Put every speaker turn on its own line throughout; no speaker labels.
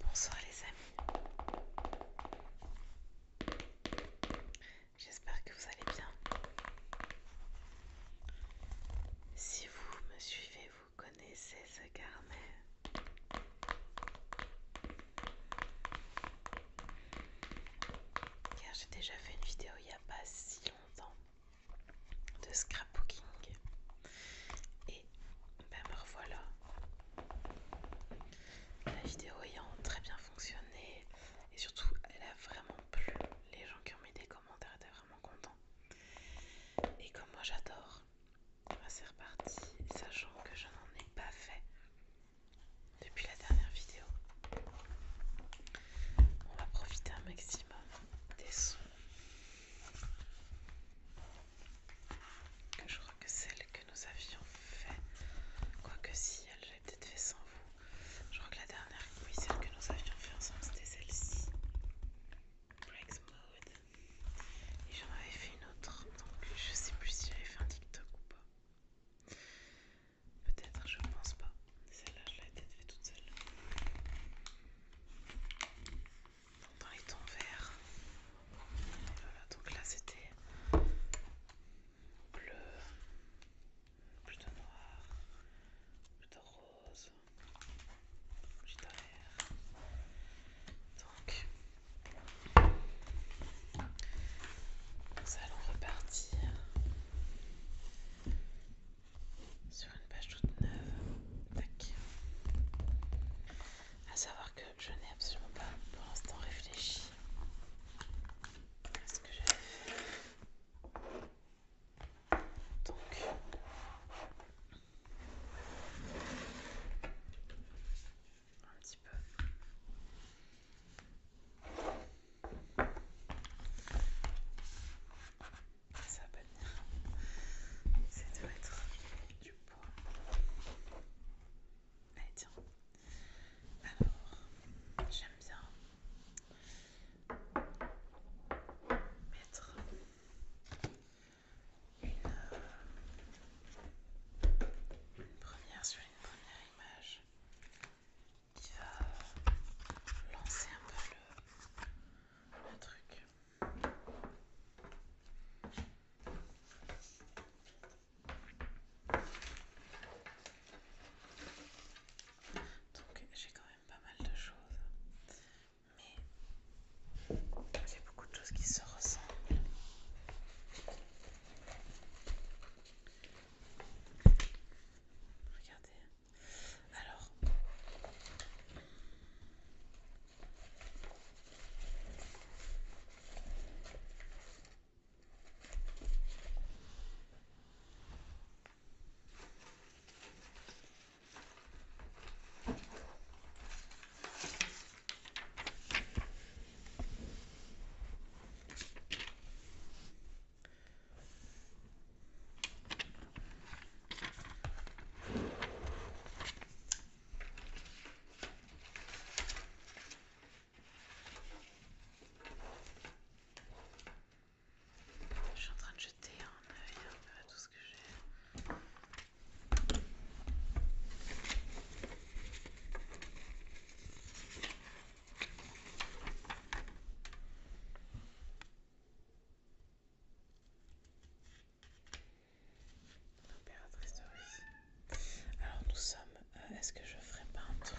Bonsoir les amis. J'espère que vous allez bien. Si vous me suivez, vous connaissez ce carnet car j'ai déjà fait une vidéo il n'y a pas si longtemps de scrapbooking et ben me revoilà la vidéo ayant très bien fonctionné et surtout elle a vraiment plu les gens qui ont mis des commentaires étaient vraiment contents et comme moi j'adore ben, c'est reparti sachant que je n'en ai pas fait depuis la dernière vidéo. On va profiter un maximum des sons. que Je crois que celle que nous avions fait, quoique si elle j'avais peut-être fait sans vous. Je crois que la dernière, oui, celle que nous avions fait ensemble, c'était celle-ci. Breaks Mode. Et j'en avais fait une autre, donc je sais plus si j'avais fait un TikTok ou pas. Peut-être, je ne pense pas. Celle-là, je l'ai peut-être toute seule. dans les tons vert. Oh donc là, c'était bleu, plutôt noir, plutôt rose, plutôt vert. Donc, nous allons repartir sur une page toute neuve. À savoir que je n'ai absolument pas pour l'instant réfléchi à ce que j'avais fait. Donc, un petit peu. Ça va pas venir, c'est doit être du poids. Allez, Alors, j'aime bien mettre euh, une première sur une première image qui lancer un peu le, le truc. Donc j'ai quand même pas mal de choses, mais j'ai beaucoup de choses qui se ressemblent. Regardez. Alors. Je suis en train de jeter un œil un peu à tout ce que j'ai. Alors nous sommes. Euh, est-ce que je ferai pas un truc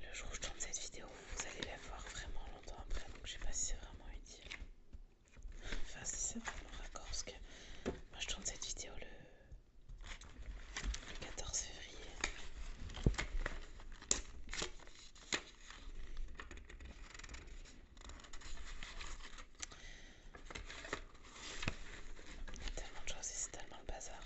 Le jour où je tourne cette vidéo, vous allez la voir vraiment longtemps après, donc je sais pas si c'est vraiment utile. Enfin, si c'est vraiment raccord, parce que moi je tourne cette vidéo le le 14 février. Il y a tellement de choses et c'est tellement le bazar.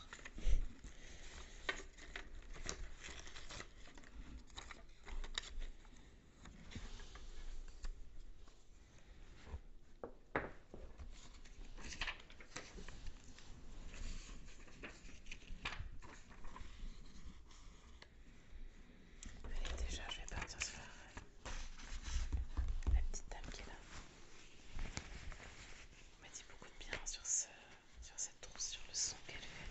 Allez, déjà, je vais partir sur euh, la petite dame qui est là. On m'a dit beaucoup de bien sur, ce, sur cette trousse, sur le son qu'elle fait.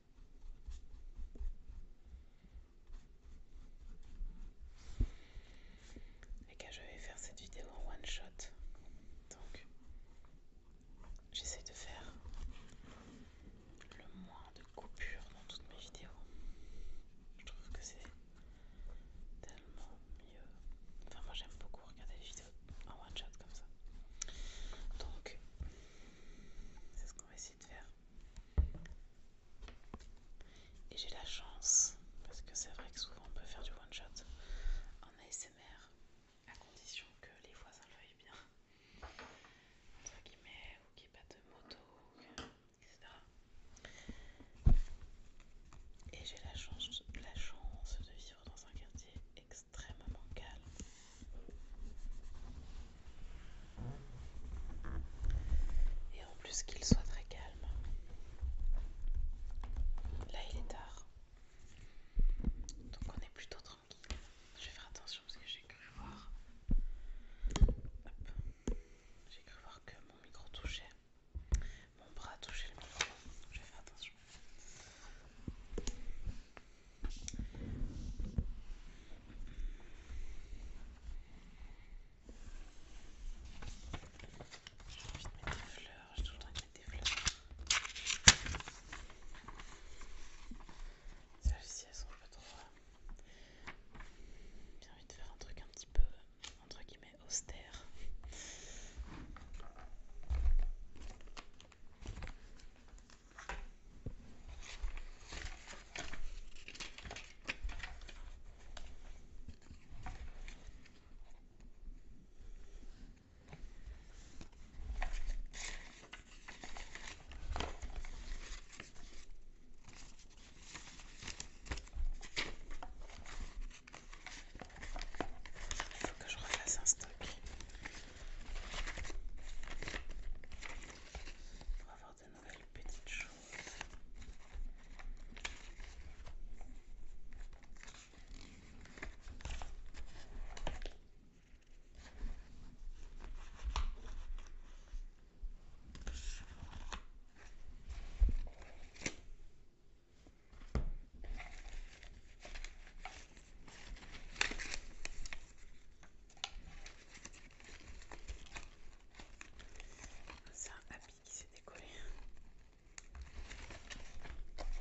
Et que je vais faire cette vidéo en one shot. Donc, j'essaie de faire le moins de coupures dans toutes mes vidéos. Je trouve que c'est tellement mieux. Enfin, moi j'aime beaucoup regarder les vidéos en one shot comme ça. Donc, c'est ce qu'on va essayer de faire. Et j'ai la chance, parce que c'est vrai que souvent on peut faire du one shot en ASMR, à condition que les voisins le veuillent bien, entre guillemets, ou qu'il n'y ait pas de moto, etc. Et j'ai la chance, la chance de vivre dans un quartier extrêmement calme et en plus qu'il soit très calme. Là il est tard. Donc on est plutôt tranquille. Je vais faire attention parce que j'ai cru voir. J'ai cru voir que mon micro touchait. Mon bras touchait le micro. Je vais faire attention. J'ai envie de mettre des fleurs, j'ai toujours le de mettre des fleurs. Celles-ci elles sont pas trop. J'ai envie de faire un truc un petit peu entre guillemets austère. Il faut que je refasse un stock va avoir de nouvelles petites choses. C'est un habit qui s'est décollé. Voilà,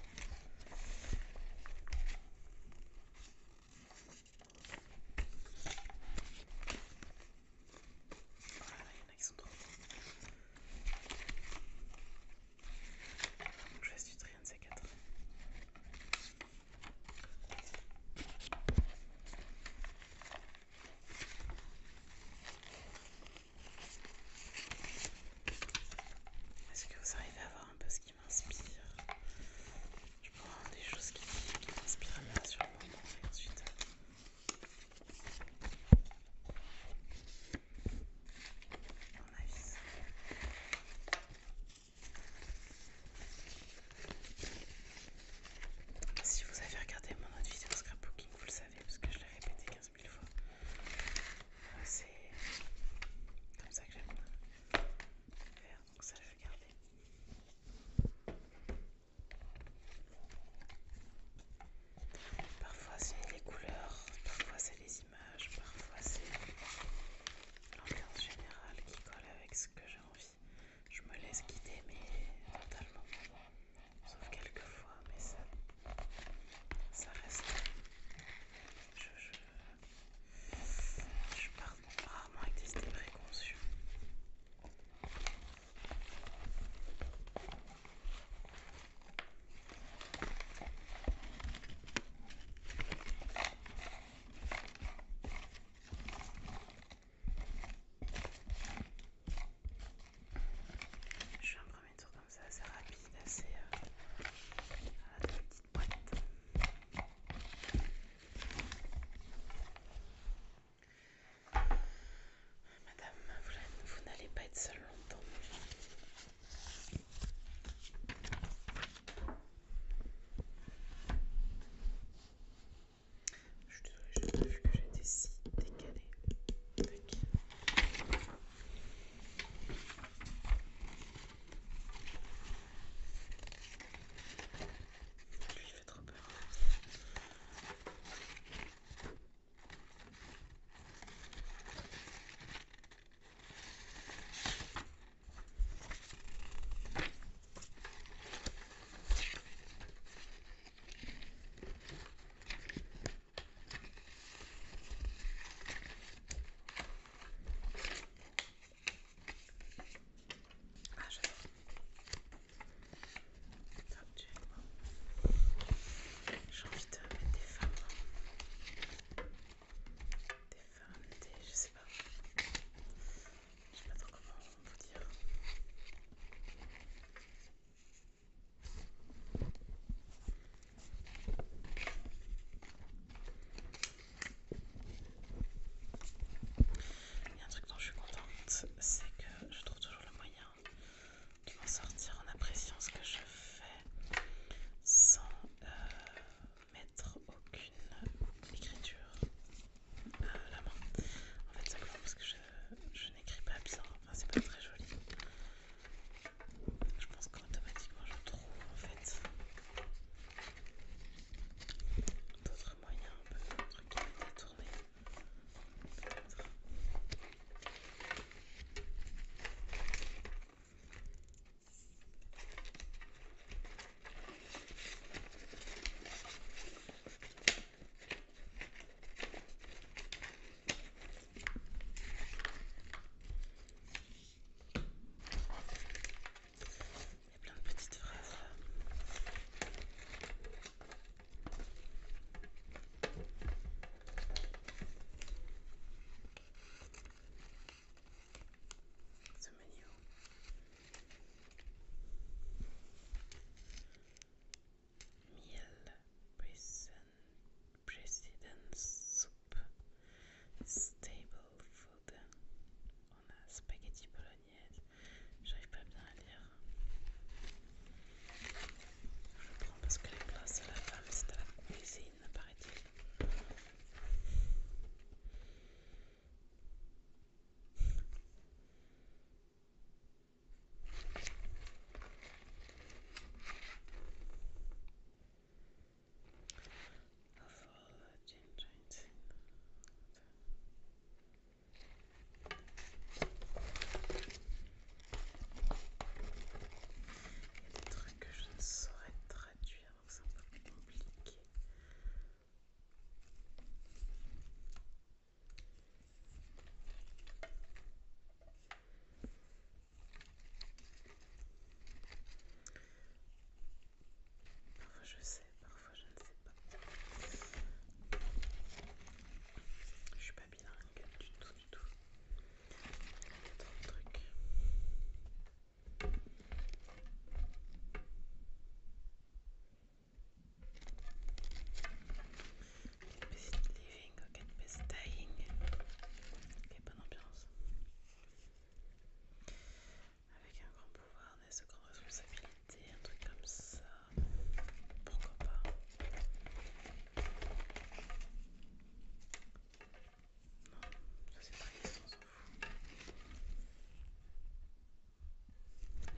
il y en a qui sont trop Je vais du un de ces quatre. Est-ce que vous arrivez à voir un peu ce qui m'inspire Je prends des choses qui, m'inspirent bien sur le moment et ensuite. On si vous avez regardé mon autre vidéo scrapbooking, vous le savez parce que je l'ai répété 15 000 fois. Euh, c'est comme ça que j'aime faire, donc ça je vais garder. Parfois c'est les couleurs, parfois c'est les images, parfois c'est l'ambiance générale qui colle avec ce que j'ai envie je me laisse guider, mais totalement. Sauf quelques fois, mais ça, ça reste. Je, je, je pars rarement avec des préconçus. Je fais un premier tour comme ça, assez rapide, assez euh, la petite boîte. Madame, vous n'allez pas être seule longtemps. Je suis désolée, je n'ai vu que j'étais si décalée. Tac. Lui, il fait trop peur. Voilà. Ah, j'adore. J'ai envie de mettre des femmes. Hein. Des femmes, des. je sais pas je sais pas trop comment vous dire. Il y a un truc dont je suis contente, c'est que je trouve toujours le moyen de m'en sortir en appréciant ce que je fais sans euh, mettre aucune écriture à la main. En fait, simplement parce que je, je n'écris pas bien, enfin, c'est pas très joli. Je pense qu'automatiquement je trouve en fait d'autres moyens, un peu un truc qui il plein de petites phrases Miel prison, Soup Stable Food. On a spaghetti bolognaise. J'arrive pas bien à lire. Je prends parce que les place c'est la femme, c'est à la cuisine, paraît-il. Il y a des trucs que je ne saurais traduire, donc c'est un peu compliqué. Parfois je sais, parfois je ne sais pas. Je suis pas bilingue du tout, du tout. Il y Ok, best living ok, get best dying. Ok, bonne ambiance. Avec un grand pouvoir, des ce grande responsabilité, un truc comme ça. Pourquoi pas Non, ça c'est triste, on s'en fout.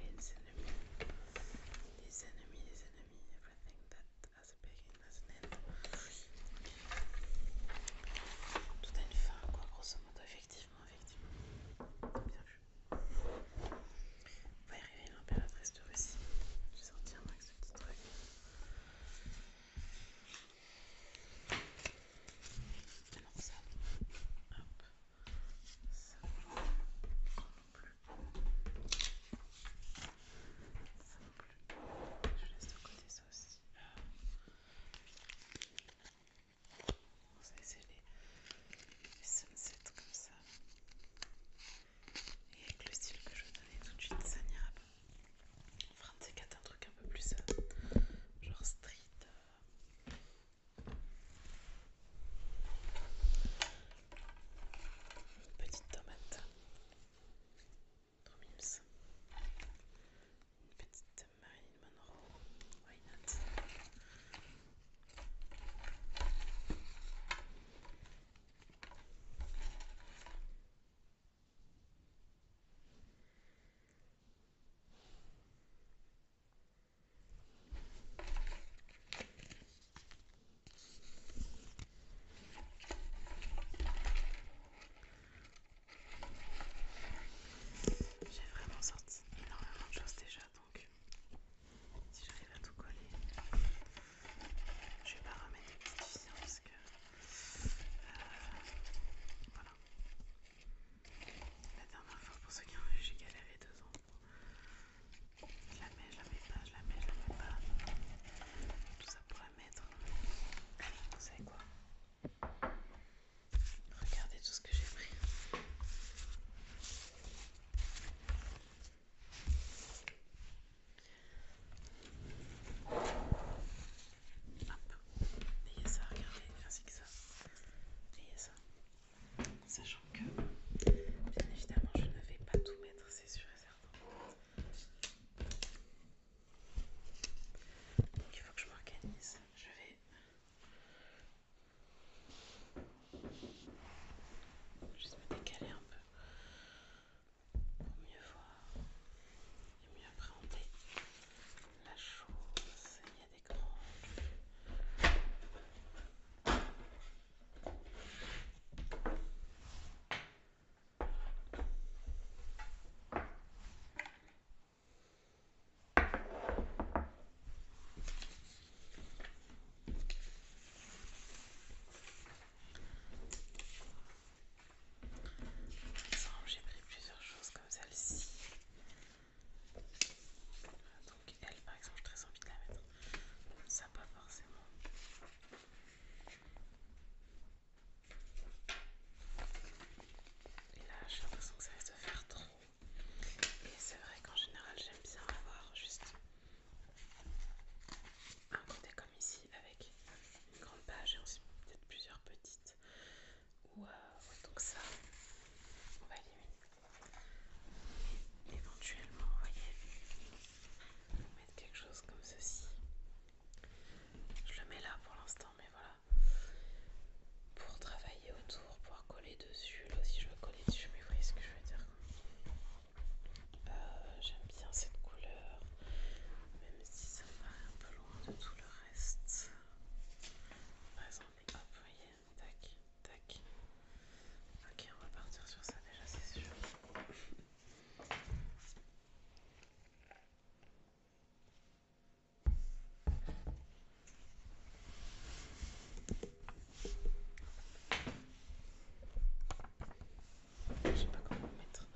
Les ennemis, les ennemis, les ennemis, everything that has a beginning has an end. Tout a une fin, quoi, grosso modo, effectivement, effectivement. Bien va arriver l'impératrice de Russie. Je vais avec ce petit truc. Alors ça, hop. Ça, plus. Je laisse de côté ça aussi. On va c'est les, les sunsets comme ça. Et avec le style que je vais donner tout de suite, ça n'ira pas. On fera un truc un peu plus genre street. Une petite tomate. Trop Une petite Marine Monroe. Why not? J'ai vraiment sorti énormément de choses déjà, donc si j'arrive à tout coller, je vais pas remettre des petites ficelles hein, parce que euh, voilà. La dernière fois, pour ceux qui ont vu, j'ai galéré deux ans. Je la mets, je la mets pas, je la mets, je la mets pas. Tout ça pourrait mettre. Allez, vous savez quoi Regardez tout ce que j'ai pris. Hop, ayez ça, regardez, ainsi que ça. Ayez ça. Sachant que, bien évidemment, je ne vais pas tout mettre, c'est sûr et certain. Donc il faut que je m'organise. Je vais... Juste me décaler un peu pour mieux voir et mieux appréhender la chose j'ai pris plusieurs choses comme celle-ci donc elle par exemple j'ai très envie de la mettre. Ça pas forcément. Et là j'ai l'impression que ça va se faire trop. Et c'est vrai qu'en général j'aime bien avoir juste un côté comme ici avec une grande page et ensuite peut-être plusieurs petites. Ou euh, donc ça on va éliminer éventuellement, vous voyez, mettre quelque chose comme ceci. Je le mets là pour l'instant, mais voilà. Pour travailler autour, pour coller dessus. Là aussi, je vais coller dessus, mais vous voyez ce que je veux dire. Euh, j'aime bien cette couleur, même si ça me un peu loin de tout le reste. hop, vous voyez tac, tac. Ok, on va partir sur ça déjà, c'est sûr. Je sais pas comment mettre.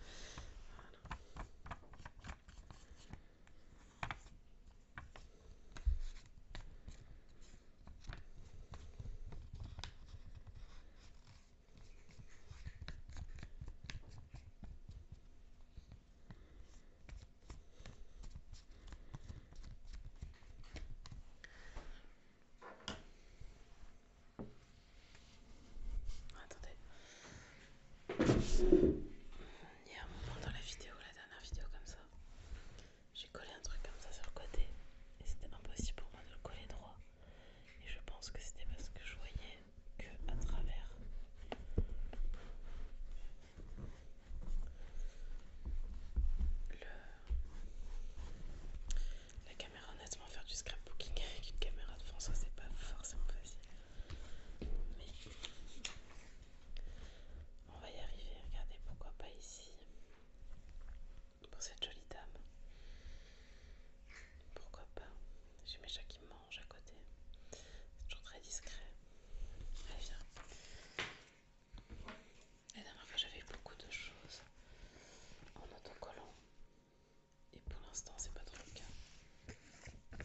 Voilà. Attendez. Il y a un moment dans la vidéo, la dernière vidéo comme ça, j'ai collé un truc comme ça sur le côté et c'était impossible pour moi de le coller droit. Et je pense que c'était parce que je voyais que à travers. La caméra, honnêtement, faire du scrapbooking avec une caméra de François c'est pas forcément facile. Mais on va y arriver. Regardez, pourquoi pas ici. Pour cette jolie dame. Pourquoi pas J'ai mes chats qui mangent à côté. C'est toujours très discret. Allez, viens. La dernière fois, j'avais beaucoup de choses en autocollant. Et pour l'instant, c'est pas trop le cas.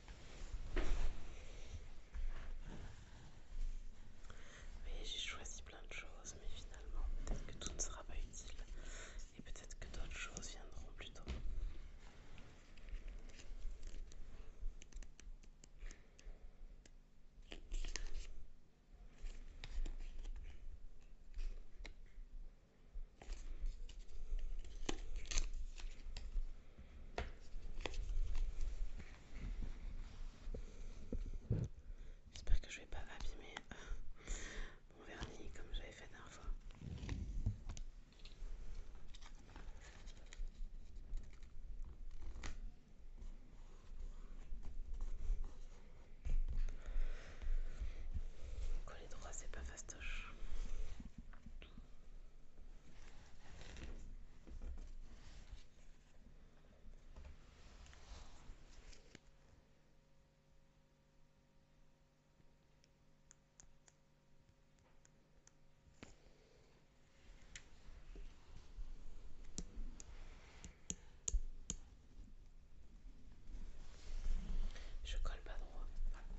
Oui, j'ai choisi plein de choses, mais finalement, peut-être que tout ne sera pas utile et peut-être que d'autres choses viendront plus tôt. J'espère que je vais pas abîmer euh, mon vernis comme j'avais fait la dernière fois. Coller droit, c'est pas fastoche. Je colle pas droit,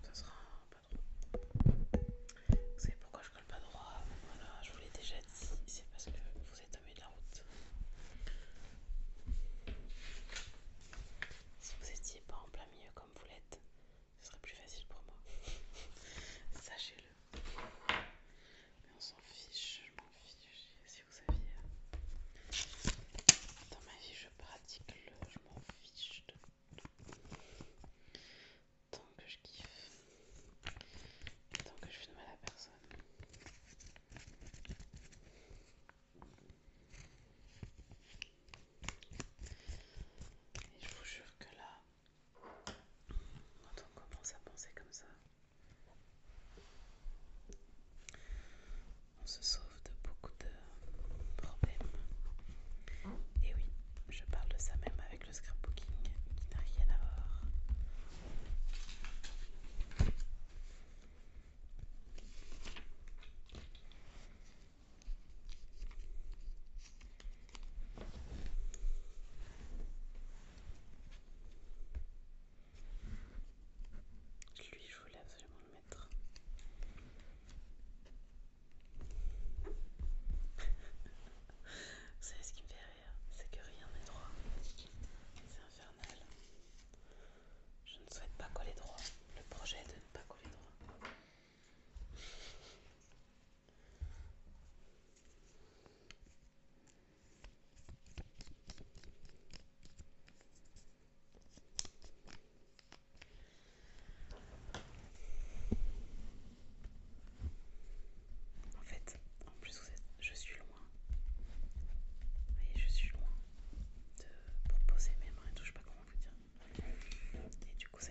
ça sera vous savez pourquoi je colle pas droit Voilà, je vous l'ai déjà dit, c'est parce que vous êtes au milieu de la route. Si vous étiez pas en plein milieu comme vous l'êtes, ce serait plus facile pour moi. Sachez-le. Mais on s'en fiche, je m'en fiche. Si vous saviez, dans ma vie je pratique le, je m'en fiche de tout tant que je kiffe, tant que je suis de mal à personne. Et je vous jure que là, quand on commence à penser comme ça, on se sauve de beaucoup de problèmes. Et oui, je parle de ça même avec le scrapbooking qui n'a rien à voir. Lui, je voulais absolument le mettre. Vous savez ce qui me fait rire C'est que rien n'est droit. C'est infernal. Je ne souhaite pas coller droit. Le projet est de ne pas coller droit. En fait, en plus, vous êtes, je suis loin. Vous voyez, je suis loin de, pour poser mes mains et tout, je sais pas comment vous dire. Et du coup, ça,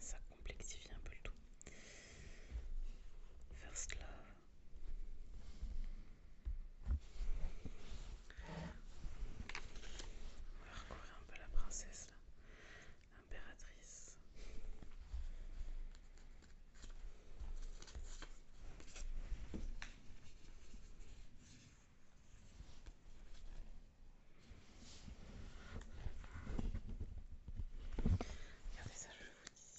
ça complexifie un peu le tout. First Love. On va recourir un peu la princesse là l'impératrice. Regardez ça, je vous dis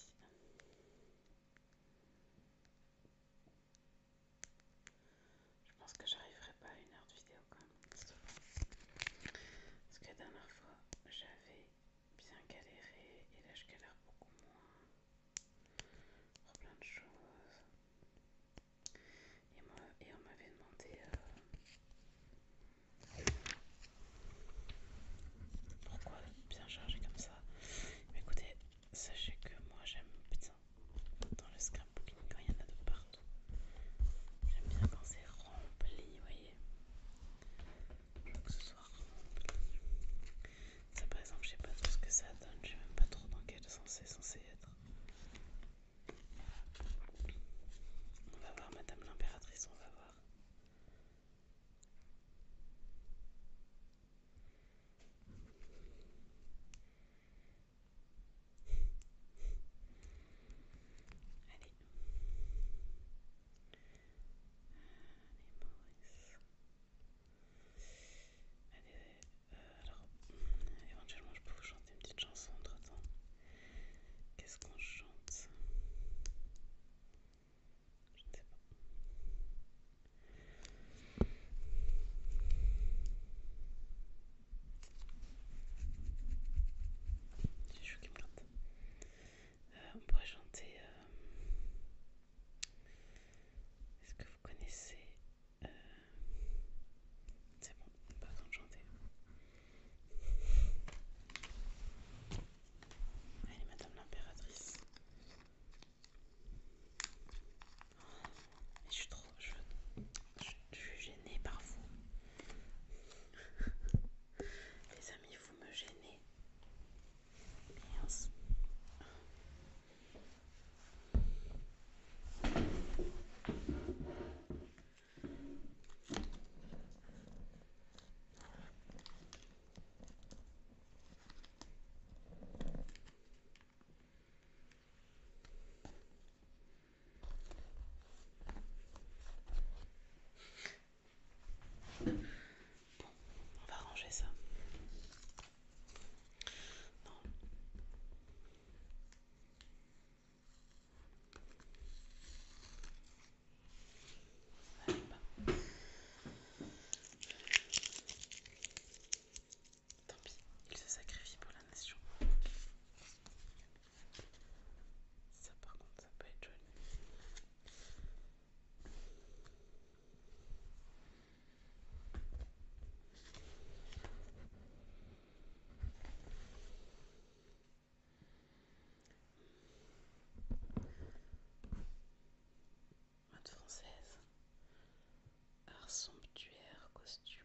je pense que j'arriverai pas à une heure de vidéo quand même, Parce que la dernière fois, j'avais bien galéré et là je galère beaucoup moins. Pour plein de choses. Et, on m'avait demandé euh, pourquoi bien charger comme ça. écoutez, sachez que moi j'aime bien dans le scrapbooking quand il y en a de partout. J'aime bien quand c'est rempli, vous voyez. Je que ce soit rempli. Ça, par exemple, je sais pas trop ce que ça donne, je sais même pas trop dans quel sens c'est censé être. On va voir Madame l'impératrice, on va voir. Allez. Allez, Allez, alors, éventuellement, je peux vous chanter une petite chanson entre temps. Qu'est-ce qu'on chante Je j'ai qui me plante. Euh, on pourrait chanter. Euh, est-ce que vous connaissez. Euh, c'est bon, pas besoin de chanter. Allez, madame l'impératrice. je suis trop. Je, je suis gênée par vous. Les amis, vous me gênez on va ranger ça. Tant pis, il se sacrifie pour la nation. Ça par contre ça peut être joli. Mode française, art somptuaire, costume,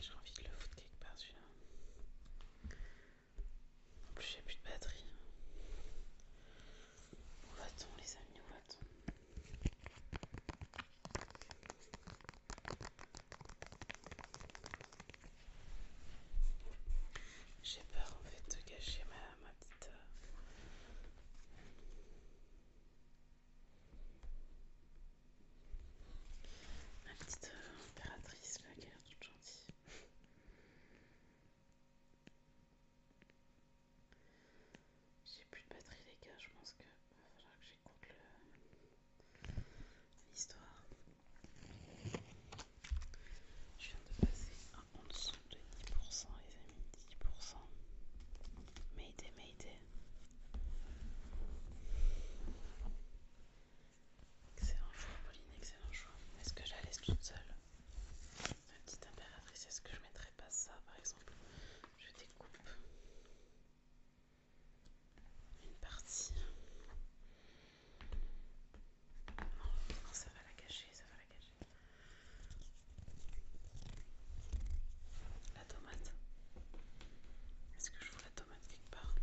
j'ai envie de le foutre quelque part celui-là. En plus j'ai plus de batterie. Où va-t-on les amis Où va-t-on j'ai peur en fait de gâcher ma, ma petite... Euh, ma petite euh, impératrice là, qui a l'air toute gentille. J'ai plus de batterie les gars, je pense que va falloir que j'écoute l'histoire. Je viens de passer à en dessous de 10%, les amis, 10%. Mayday, Mayday. Excellent choix, Pauline, excellent choix. Est-ce que je la laisse toute seule La petite impératrice, est-ce que je mettrais pas ça par exemple Je découpe une partie. Non, ça va la cacher, ça va la cacher. La tomate. Est-ce que je vois la tomate quelque part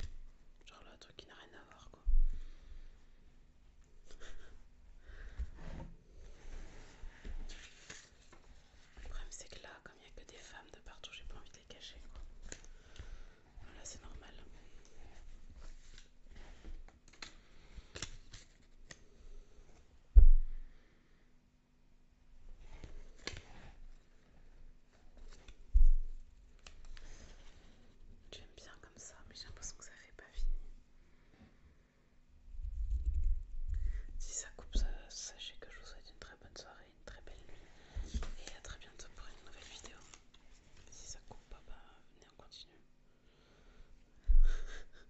Genre un truc qui n'a rien à voir quoi. Le problème c'est que là, comme il n'y a que des femmes de partout, j'ai pas envie de les cacher. Là c'est normal. J'aime bien comme ça, mais j'ai l'impression que ça fait pas fini. Si ça coupe, sachez que je vous souhaite une très bonne soirée une très belle nuit et à très bientôt pour une nouvelle vidéo. Si ça coupe pas, bah, venez on continue.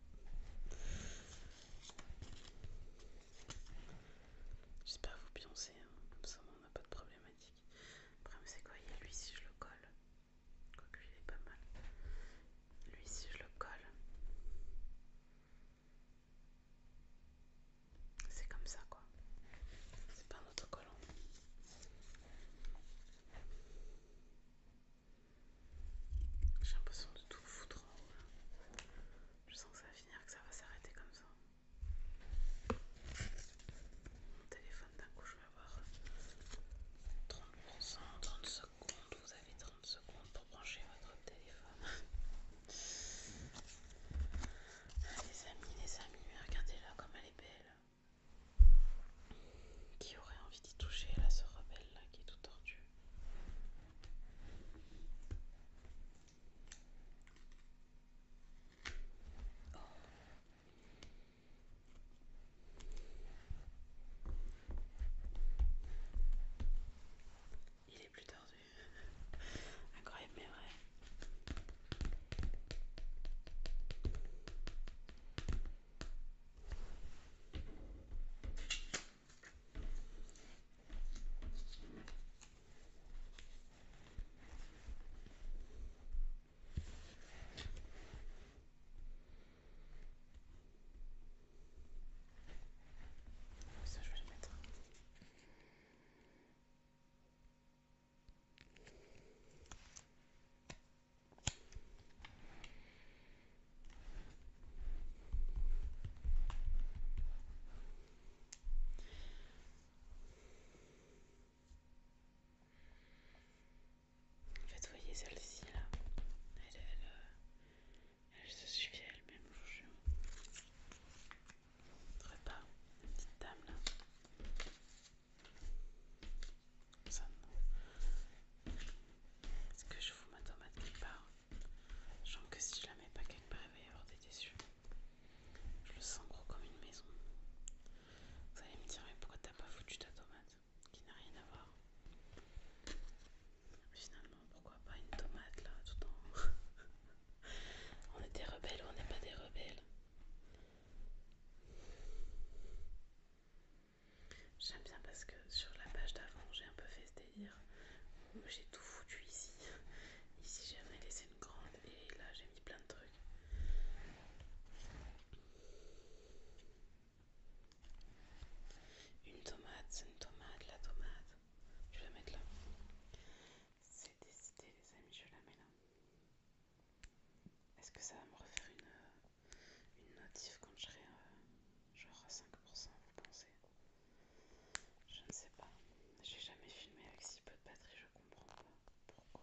J'espère vous pioncer, hein. comme ça on n'a pas de problématique. Le problème c'est quoi Il y a lui si je le colle. Quoique il est pas mal. Lui si je le colle. C'est comme ça quoi. C'est pas un autocollant. J'ai l'impression de tout foutre en haut Je sens que ça va finir, que ça va s'arrêter comme ça. Mon téléphone d'un coup je vais avoir 30%, 30 secondes, vous avez 30 secondes pour brancher votre téléphone. Les amis, les amis, regardez-la comme elle est belle. Qui aurait envie d'y toucher là, ce rebelle là qui est tout tordu il est plus tordu. Incroyable mais vrai. Ça, je vais le mettre. En fait, voyez celle-ci là, elle, elle, euh, se suffit elle-même, je vous pas une petite dame là. Ça non. Est-ce que je fous ma tomate quelque part Je sens que si je la mets pas quelque part, il va y avoir des déçus. Je le sens gros comme une maison. Vous allez me dire, mais pourquoi t'as pas foutu ta tomate Qui n'a rien à voir. Finalement, pourquoi pas une tomate là tout en. On est des rebelles ou on n'est pas des rebelles J'aime bien parce que sur la page d'avant, j'ai un peu fait ce délire. J'ai tout foutu ici. Ici, j'ai jamais laissé une grande et là, j'ai mis plein de trucs. Une tomate, c'est une tomate, la tomate. Je vais la mettre là. C'est décidé les amis, je la mets là. Est-ce que ça va me refaire une, euh, une notif quand je serai euh, genre à 5% vous pensez Je ne sais pas. J'ai jamais filmé avec si peu de batterie, je comprends pas pourquoi.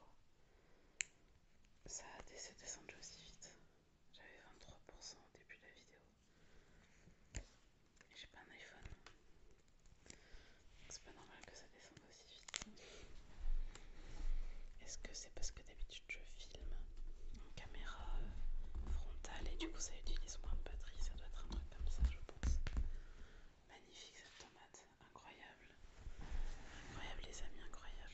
Ça a décidé descendu aussi vite. J'avais 23% au début de la vidéo. J'ai pas un iPhone. C'est pas normal que ça descende aussi vite. Est-ce que c'est parce que d'habitude je filme en caméra euh, frontale et du coup ça utilise moins de batterie Ça doit être un truc comme ça, je pense. Magnifique cette tomate, incroyable. Incroyable les amis, incroyable.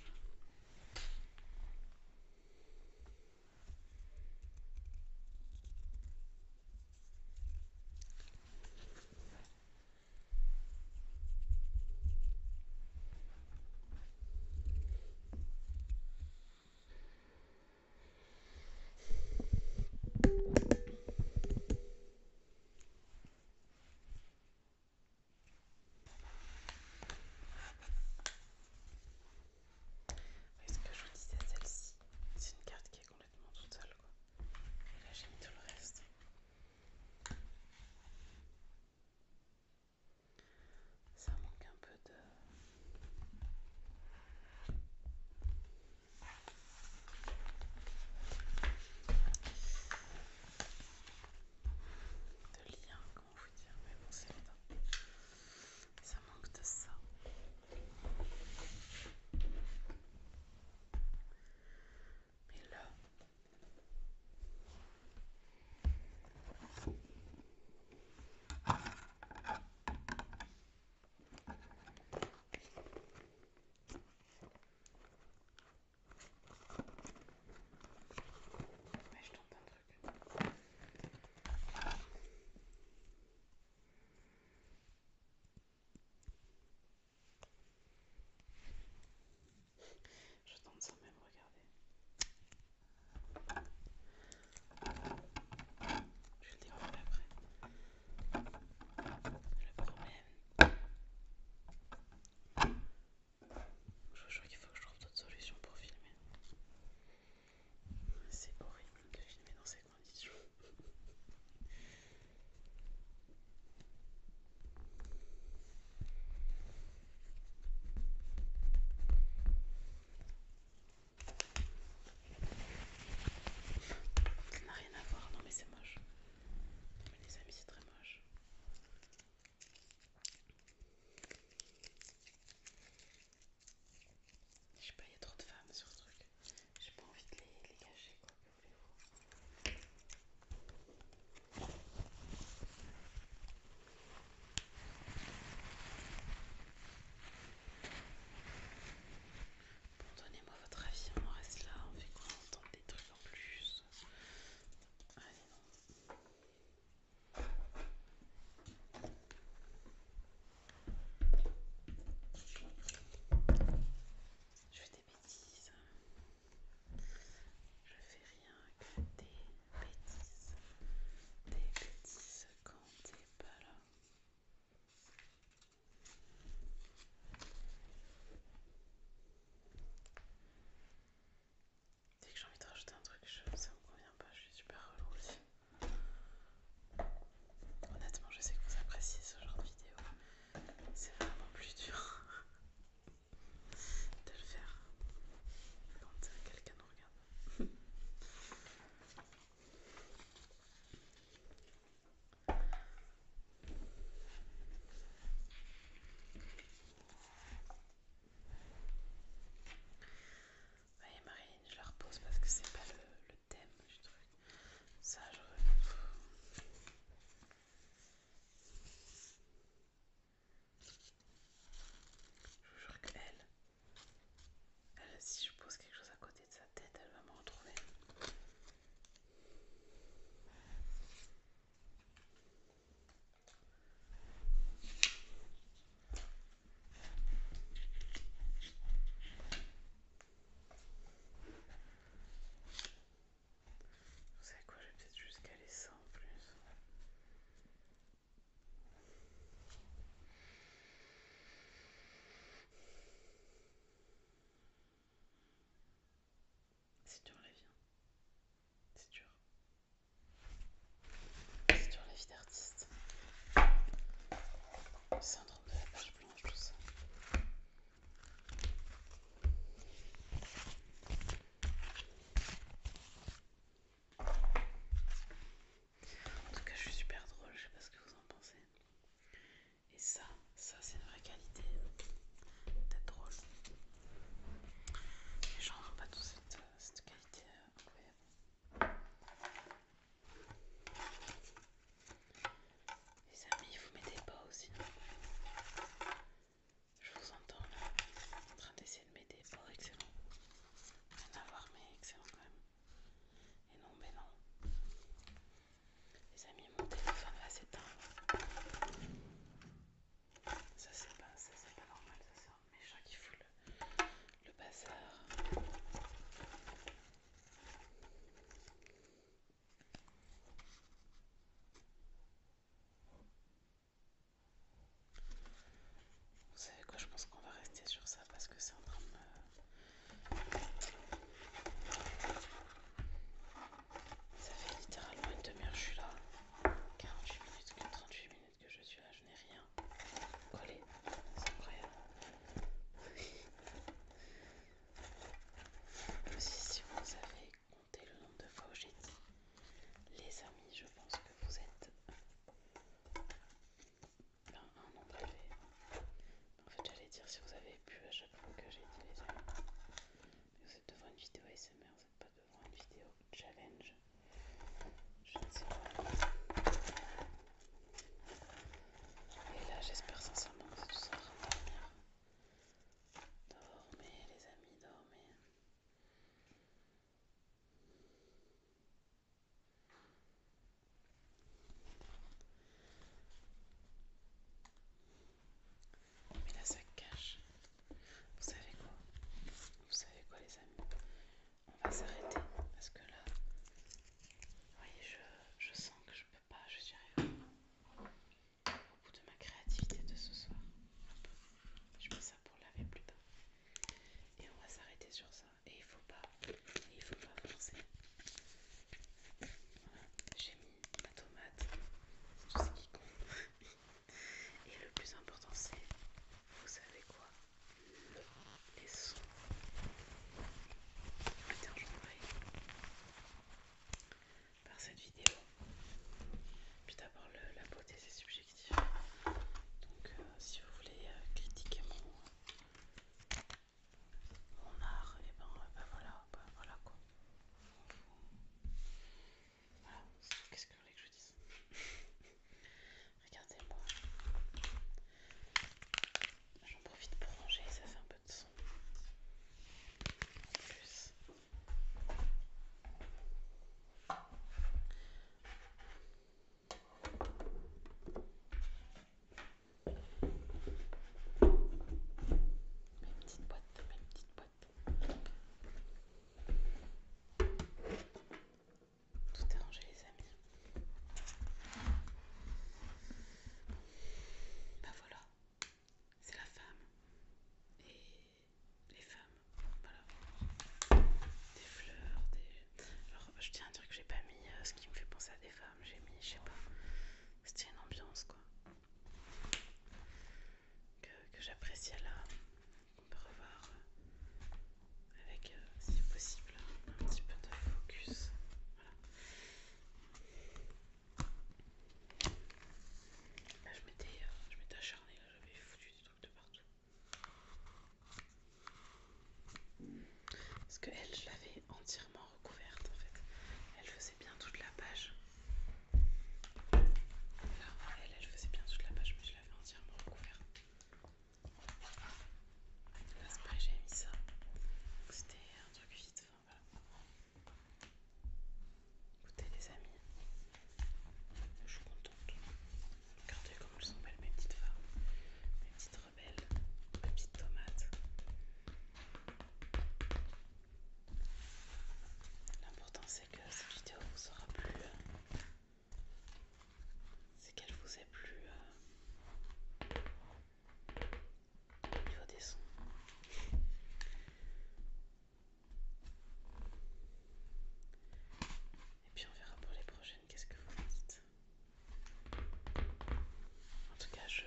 Est-ce que je vous disais celle-ci C'est une carte qui est tout seul quoi. Et là j'ai mis tout le reste. Ça manque un peu de... de lien, comment vous dire, mais bon c'est évident. Ça manque de ça. Mais là, ouais, je tente un truc. Je tente sans même regarder. Je le dire après. Le problème. Je vous jure qu'il faut que je trouve d'autres solutions pour filmer. C'est horrible de filmer dans ces ces Ça n'a rien à voir, non mais c'est moche. mais les amis c'est très moche. Je sais pas, il y a trop de femmes sur ce truc. J'ai pas envie de les, les cacher quoi. Bon, donnez-moi votre avis, on reste là, on fait quoi On entend des trucs en plus je fais des bêtises. Je fais rien que des bêtises. Des bêtises quand t'es pas là. Dès que j'ai envie de rajouter un truc, ça me convient pas, je suis super relou aussi. Honnêtement, je sais que vous appréciez ce genre de vidéo c'est vraiment plus dur de le faire quand quelqu'un nous regarde. Voyez Marine, je la repose parce que c'est pas le, le thème du truc. Ça, je... Je vous jure qu'elle, elle, si je pose quelque chose à côté de sa tête, elle va me retrouver. Vous savez quoi, j'ai peut-être juste calé ça en plus. C'est dur la vie, hein. c'est dur. C'est dur la vie d'artiste. Syndrome de la page blanche, tout ça. En tout cas, je suis super drôle, je sais pas ce que vous en pensez. Et ça, ça c'est une vraie qualité d'être drôle. Les gens n'ont pas toute cette, euh, cette qualité euh, incroyable. Les amis, vous mettez pas aussi. Je vous entends là, en train d'essayer de m'aider. Oh, excellent. Rien à voir, mais excellent quand même. Et non, mais non. Les amis, mon téléphone va s'éteindre. Ça, c'est pas, normal, ça, c'est un méchant qui fout le, le bazar. Vous savez quoi, je pense qu'on va rester sur ça parce que c'est en train de me... Ça fait littéralement une demi-heure que je suis là. 48 minutes, 38 minutes que je suis là, je n'ai rien collé. C'est incroyable. Aussi, si vous avez compté le nombre de fois où j'ai dit les amis, je pense que vous êtes ben, un nombre élevé. En fait, j'allais dire si vous avez pu à chaque fois que j'ai dit les amis. vous êtes devant une vidéo ASMR, vous n'êtes pas devant une vidéo challenge. Je ne sais pas. Et là, j'espère sincèrement que ce sera Dormez les amis, dormez. Mais là ça cache. Vous savez quoi Vous savez quoi les amis On va s'arrêter parce que là, vous voyez, je, sens que je peux pas, je suis rien au bout de ma créativité de ce soir. Je mets ça pour laver plus tard. Et on va s'arrêter sur ça. Et il faut pas, et il faut pas forcer. J'ai mis ma tomate, tout ce qui compte. et le plus important c'est, vous savez quoi Les sons. Attends, j'en par cette vidéo. Puis d'abord, la beauté c'est subjectif. Donc, euh, si vous voulez euh, critiquer mon, art, et eh ben, euh, bah voilà, bah voilà quoi. Voilà, qu'est-ce que vous voulez que je dise Regardez-moi. J'en profite pour ranger, ça fait un peu de une petite boîte, Mes petite boîte. Tout est rangé les amis. Bah voilà, c'est la femme et les femmes. Voilà. Des fleurs, des. Alors, je tiens à dire que j'ai pas mis euh, ce qui me fait penser à des femmes, j'ai mis, je sais pas, c'était une ambiance quoi. Que, j'apprécie j'appréciais là, on peut revoir euh, avec, euh, si possible, un petit peu de focus. Voilà. Là, je m'étais euh, acharnée, j'avais foutu des trucs de partout. Parce que elle, je l'avais entièrement recouverte en fait. Elle faisait bien toute la page. Là, elle, elle faisait bien toute la page, mais je l'avais entièrement recouverte. Là, c'est pareil, mis ça. C'était un truc vite. Enfin, voilà. Écoutez les amis, je suis contente. Regardez comme elles sont belles mes petites femmes, mes petites rebelles, mes petites tomates. L'important c'est que cette vidéo vous aura plu. Hein. C'est qu'elle vous ait plu. Hein au niveau des sons. Et puis on verra pour les prochaines, qu'est-ce que vous dites. En tout cas, je,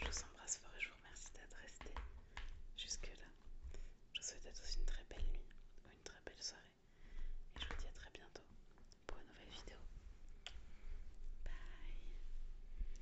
je vous embrasse fort et je vous remercie d'être resté jusque-là. Je vous souhaite à tous une très belle nuit ou une très belle soirée. Et je vous dis à très bientôt pour une nouvelle vidéo. Bye